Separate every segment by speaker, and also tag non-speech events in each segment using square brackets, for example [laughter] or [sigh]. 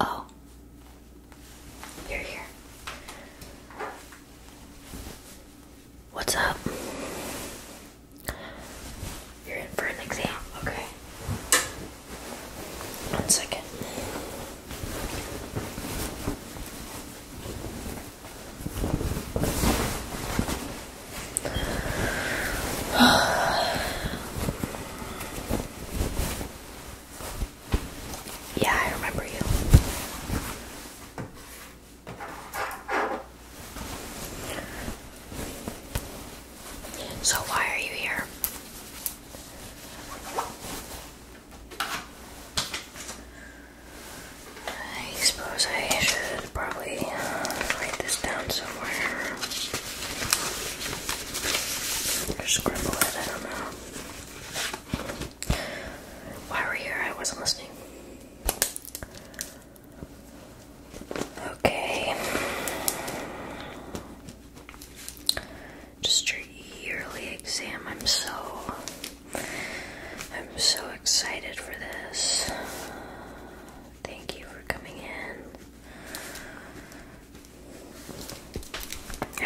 Speaker 1: Oh, you're here. What's up? You're in for an exam, okay? One second. [sighs] yeah, I remember you. So, why are you here? I suppose I should probably uh, write this down somewhere. scribble it, I don't know. Why were you I wasn't listening. Okay just your yearly exam. I'm so I'm so excited for this. Thank you for coming in.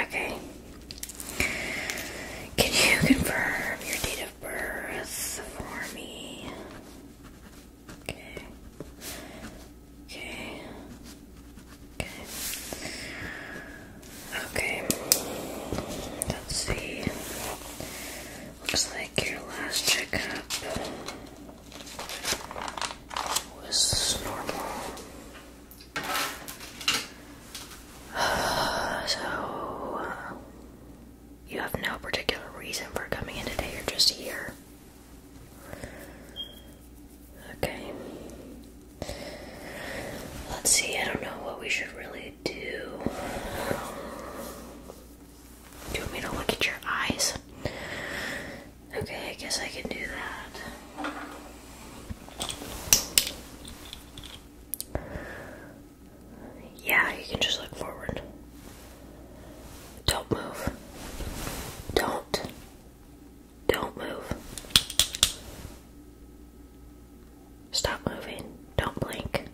Speaker 1: Okay. Can you confirm your date of birth for me? Okay. Okay. Okay. Let's see. Looks like your last checkup was normal. [sighs] Uh, so, you have no particular reason for coming in today, you're just here. Okay. Let's see, I don't know what we should really do. Do you want me to look at your eyes? Okay, I guess I can do that. Yeah, you can just look forward. Don't move. Don't don't move. Stop moving. Don't blink.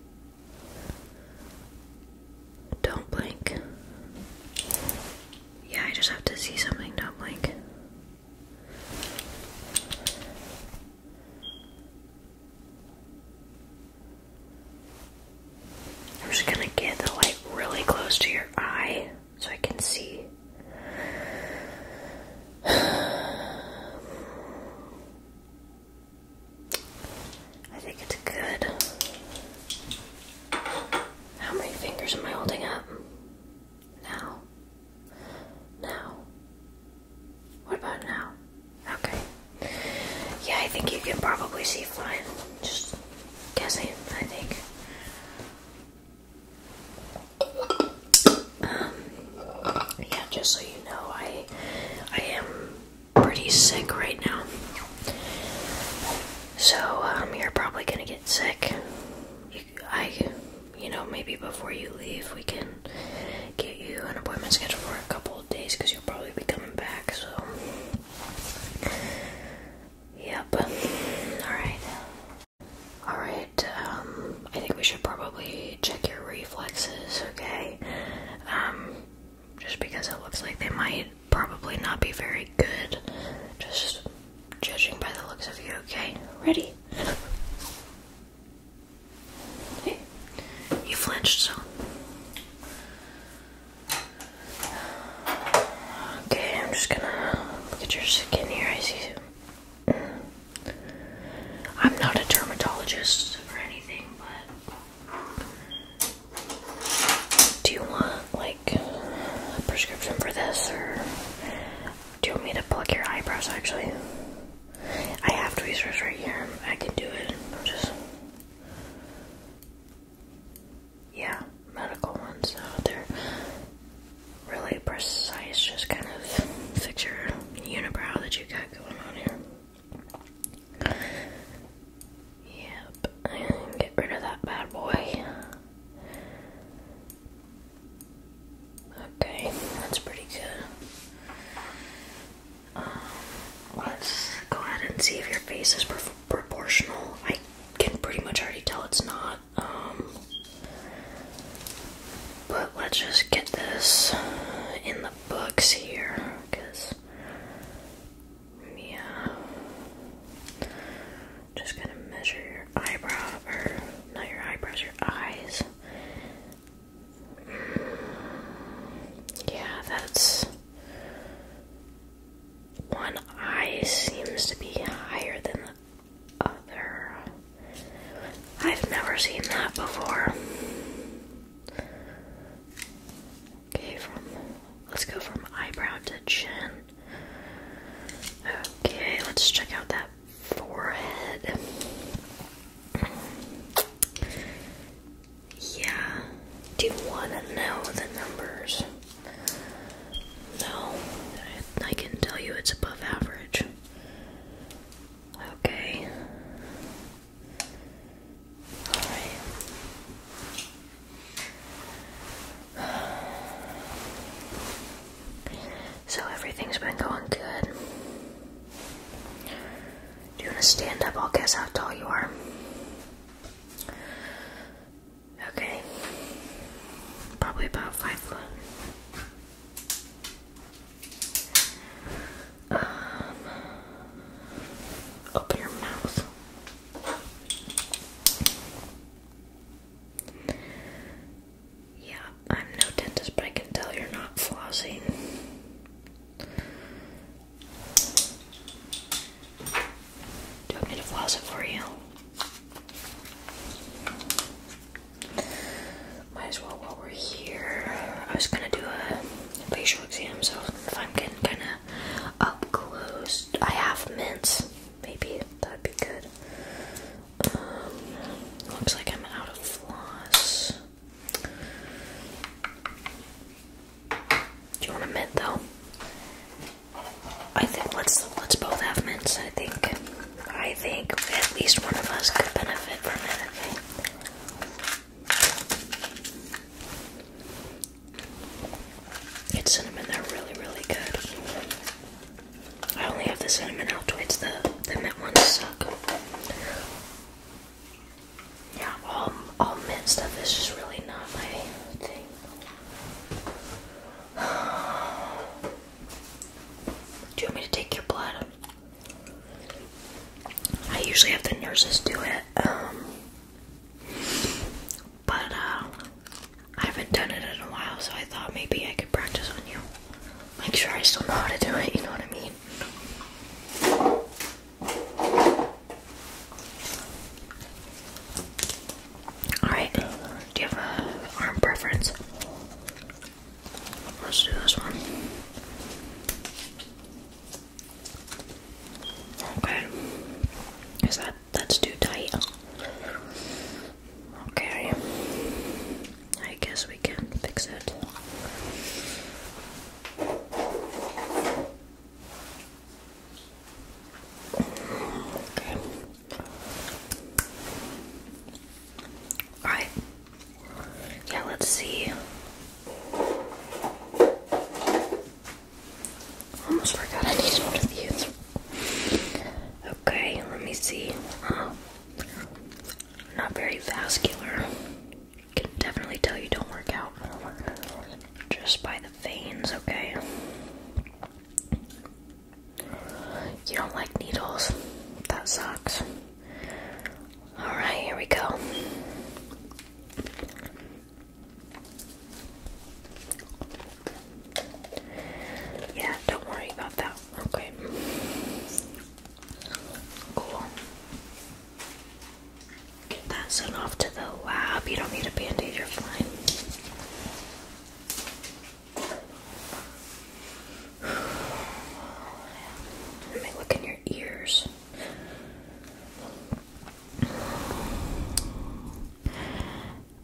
Speaker 1: Don't blink. Yeah, I just have to see something. Don't blink. I'm just gonna get the light really close to your eye so I can see. I think it's good. How many fingers am I holding up? Now. Now. What about now? Okay. Yeah, I think you can probably see fine. Just guessing, I think. Um, yeah, just so you know, I I am pretty sick right now. So um, you're probably gonna get sick. I, you know, maybe before you leave, we can get you an appointment scheduled for a couple of days because you'll probably be coming back. So. Yep. Alright. Alright, um, I think we should probably check your reflexes, okay? Um, just because it looks like they might probably not be very good. Just judging by the looks of you, okay? Ready? you flinched, so. Okay, I'm just gonna get your skin here. I see I'm not a dermatologist or anything, but do you want like a prescription for this or do you want me to pluck your eyebrows actually? I have tweezers right here. I can do it. just yeah, medical ones, so they're really precise, just kind of fix your unibrow that you got going on here. Yep, get rid of that bad boy. Okay, that's pretty good. Um, let's go ahead and see if your face is proportional. I can pretty much already tell it's not. Um, but let's just get this in the books here, because yeah, just gonna measure your eyebrow not your eyebrows, your eyes. Yeah, that's one eye seems to be higher than other. I've never seen that before. Okay, from let's go from eyebrow to chin. Okay, let's check out that forehead. Yeah. Do you want to know the numbers? No, I, can tell you it's above average. Okay. Alright. So everything's been going good. Do you want to stand up? I'll guess how tall you are. Okay. Probably about five foot. Um, open your mouth. Yeah, I'm no dentist, but I can tell you're not flossing. Do you want to floss it for you? Might as well while we're here. I was gonna do a facial exam, so if I'm getting kinda up close, I have mints. Maybe that'd be good. Um, looks like I'm out of floss. Do you want a mint though? I think let's let's both have mints. I think I think at least one of us could benefit from it. It's cinnamon. They're really really good. I only have the cinnamon out. Altoids. The the mint ones suck. Yeah, all all mint stuff is just really not my thing. Do you want me to take your blood? I usually have the nurses do it, um, but uh, I haven't done it in a while, so I thought maybe I could practice on you. Make sure I still know how to do it, you know what I mean? Alright, do you have a arm preference? Let's do this one. Okay. Is that that's too tight? Okay. I guess we can fix it. Okay. Alright. Yeah, let's see. Almost forgot I needed one of these. Okay, let me see. Oh, not very vascular. Can definitely tell you don't work out just by the veins, okay? You don't like needles. That sucks. Alright, here we go. Yeah, don't worry about that. Okay. Cool. Get sent off to the lab. You don't need a band you're fine. Let me look in your ears.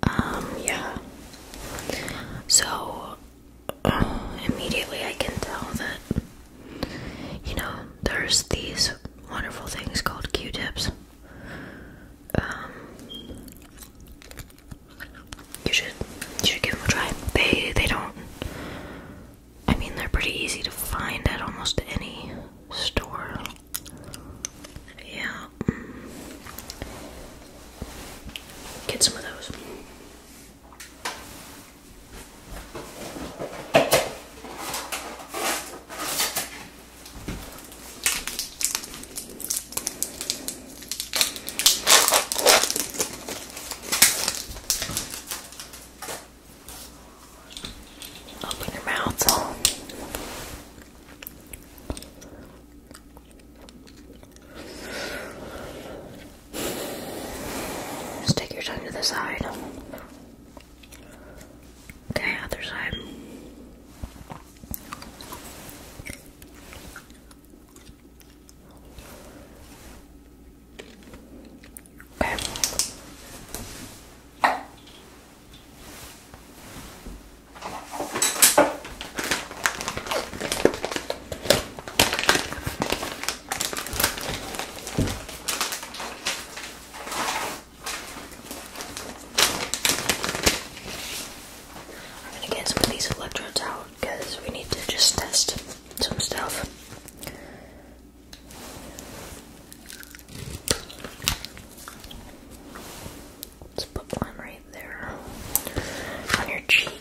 Speaker 1: Um, yeah. So, uh, immediately I can tell that, you know, there's these wonderful things called Q tips. Um, you should you should give them a try. They they don't. I mean, they're pretty easy to find at almost any store. Yeah. Mm. Get some of those. Open your mouth. Stick your tongue to the side. Okay, other side. Okay. I'm gonna get some of these electrodes out because we need to just test some stuff. Let's put one right there on your cheek.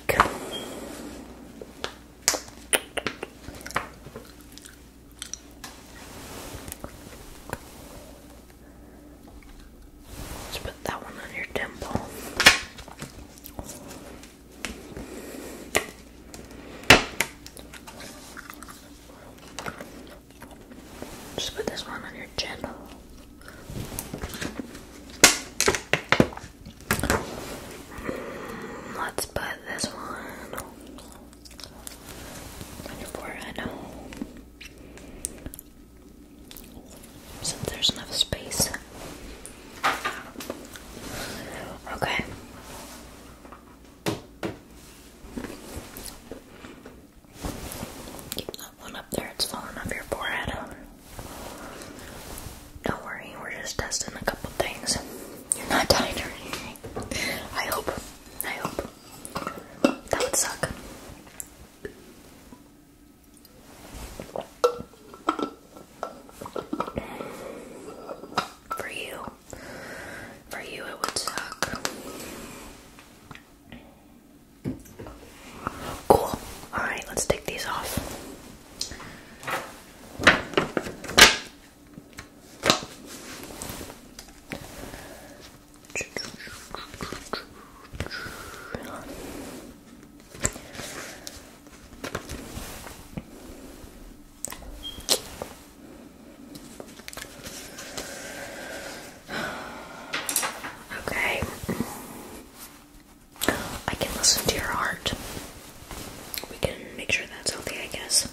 Speaker 1: Let's put that one on your temple. Just put this one on your chin. Let's put this one on your forehead. Since there's enough space. Okay. Keep that one up there, it's falling off your forehead. Don't worry, we're just testing a couple things. You're not dying or anything. I hope. I hope. That would suck. For you. For you, it would suck. Cool. Alright, let's take these off. Okay. I can listen to your heart. We can make sure that's healthy, I guess.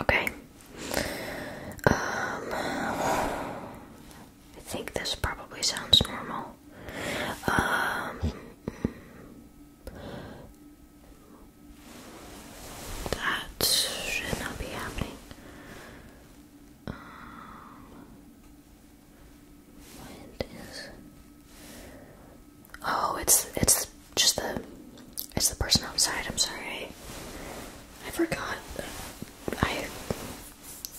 Speaker 1: Okay. Um, I think this probably sounds normal. Um, that should not be happening. Um, Oh, it's it's just the it's the person outside. I'm sorry, I forgot. I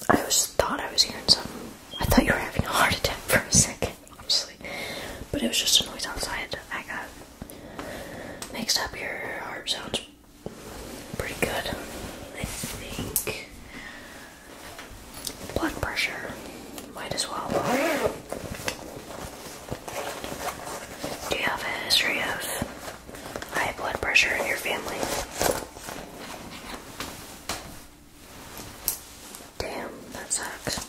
Speaker 1: I was thought I was hearing something. I thought you were having a heart attack for a second, honestly. But it was just a noise outside. I got mixed up. Your heart sounds pretty good, I think blood pressure. Might as well. Do you have a history of high blood pressure in your family? Damn, that sucks.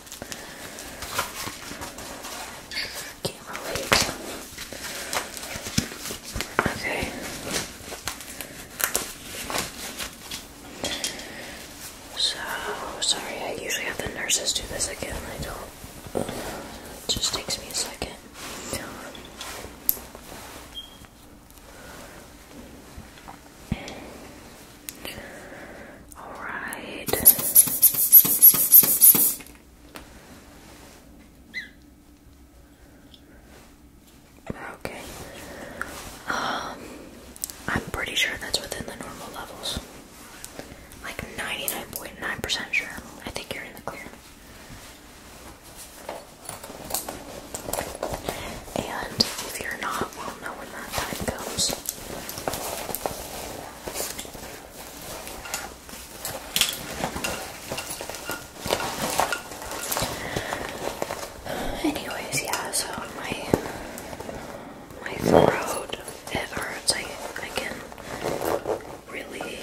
Speaker 1: Okay. So sorry, I usually have the nurses do this again. I don't. It just takes me a second. All right. Okay. Um, I'm pretty sure that's within the normal levels. Like 99.9% sure. I think you're in the clear. And if you're not, we'll know when that time comes. Anyways, yeah, so my my throat it hurts. I I can really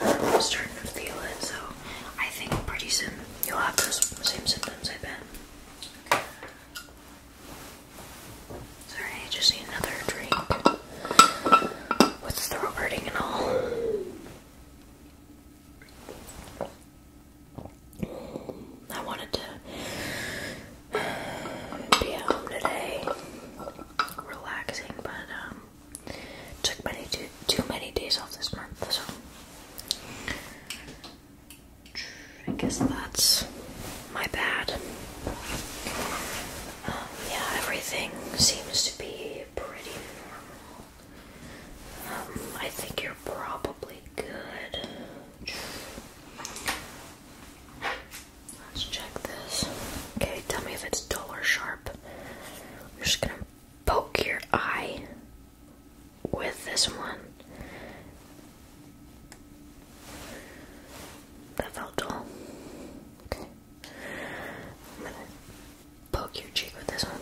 Speaker 1: i um, starting to feel it, so I think pretty soon you'll have those same symptoms, I bet. Sorry, just need another drink with throat hurting and all. I wanted to be at home today, relaxing, but um, took many too, too many days off this month, so I guess that's my bad. Um, yeah, everything seems to be pretty normal. Um, I think you're probably good. Let's check this. Okay, tell me if it's dull or sharp. I'm just gonna poke your eye with this one. That felt dull. Okay poke your cheek with this one.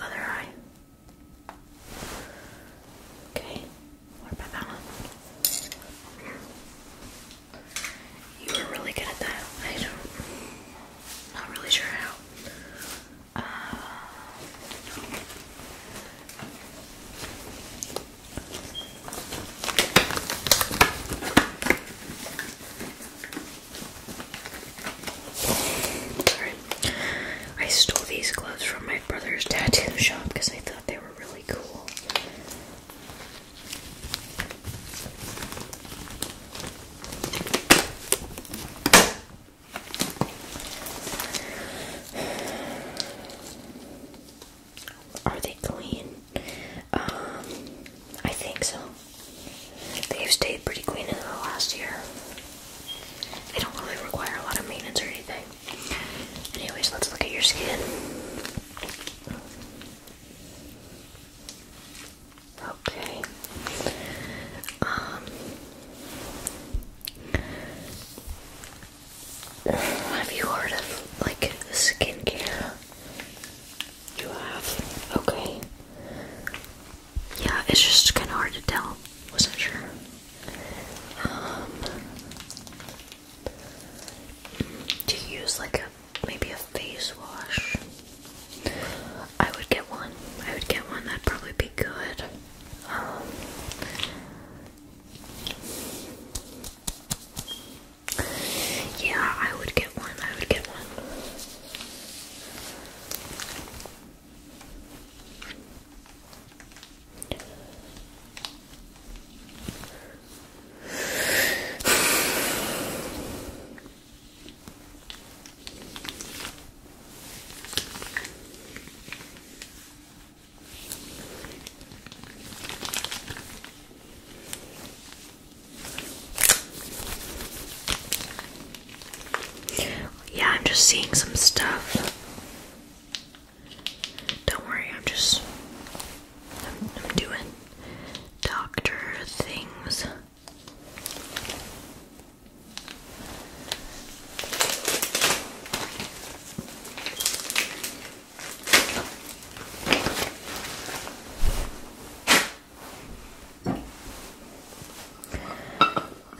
Speaker 1: Other eye. Okay. What about that one? You were really good at that. I don't. Not really sure how. Uh, I stole these gloves from my brother's tattoo shop because I thought they were really cool. Are they clean? Um, I think so. They've stayed pretty clean in the last year. They don't really require a lot of maintenance or anything. Anyways, let's look at your skin. Okay. Um, have you heard of like skincare? You have? Okay. Yeah, it's just kind of hard to tell. Wasn't sure. Um, use like a maybe a face wash? I would get one. I would get one. That'd probably be good. Um, yeah, I would get one. I would get one. Yeah, I'm just seeing some stuff. Don't worry, I'm just doing doctor things.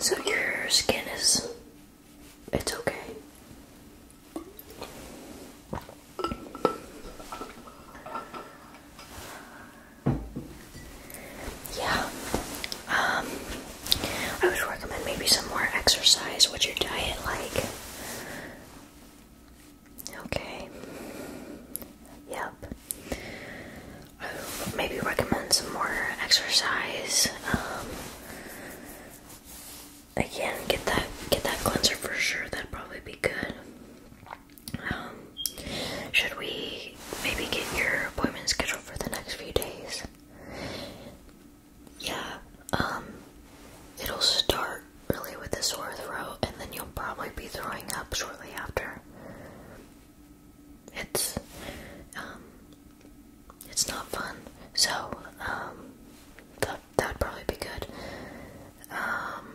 Speaker 1: So your skin is it's okay. Yeah. Um I would recommend maybe some more exercise. What's your diet like? Okay. Yep. maybe recommend some more exercise. Um, again, get that get that cleanser for sure. That'd probably be good. Um, should we maybe get your appointment scheduled for the next few days? Yeah. Um, it'll start really with a sore throat, and then you'll probably be throwing up shortly after. It's um, it's not fun. So um, that that'd probably be good. Um,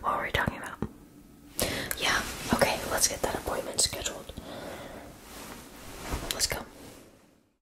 Speaker 1: what were we talking about? Yeah. Okay. Let's get that appointment scheduled. Let's go.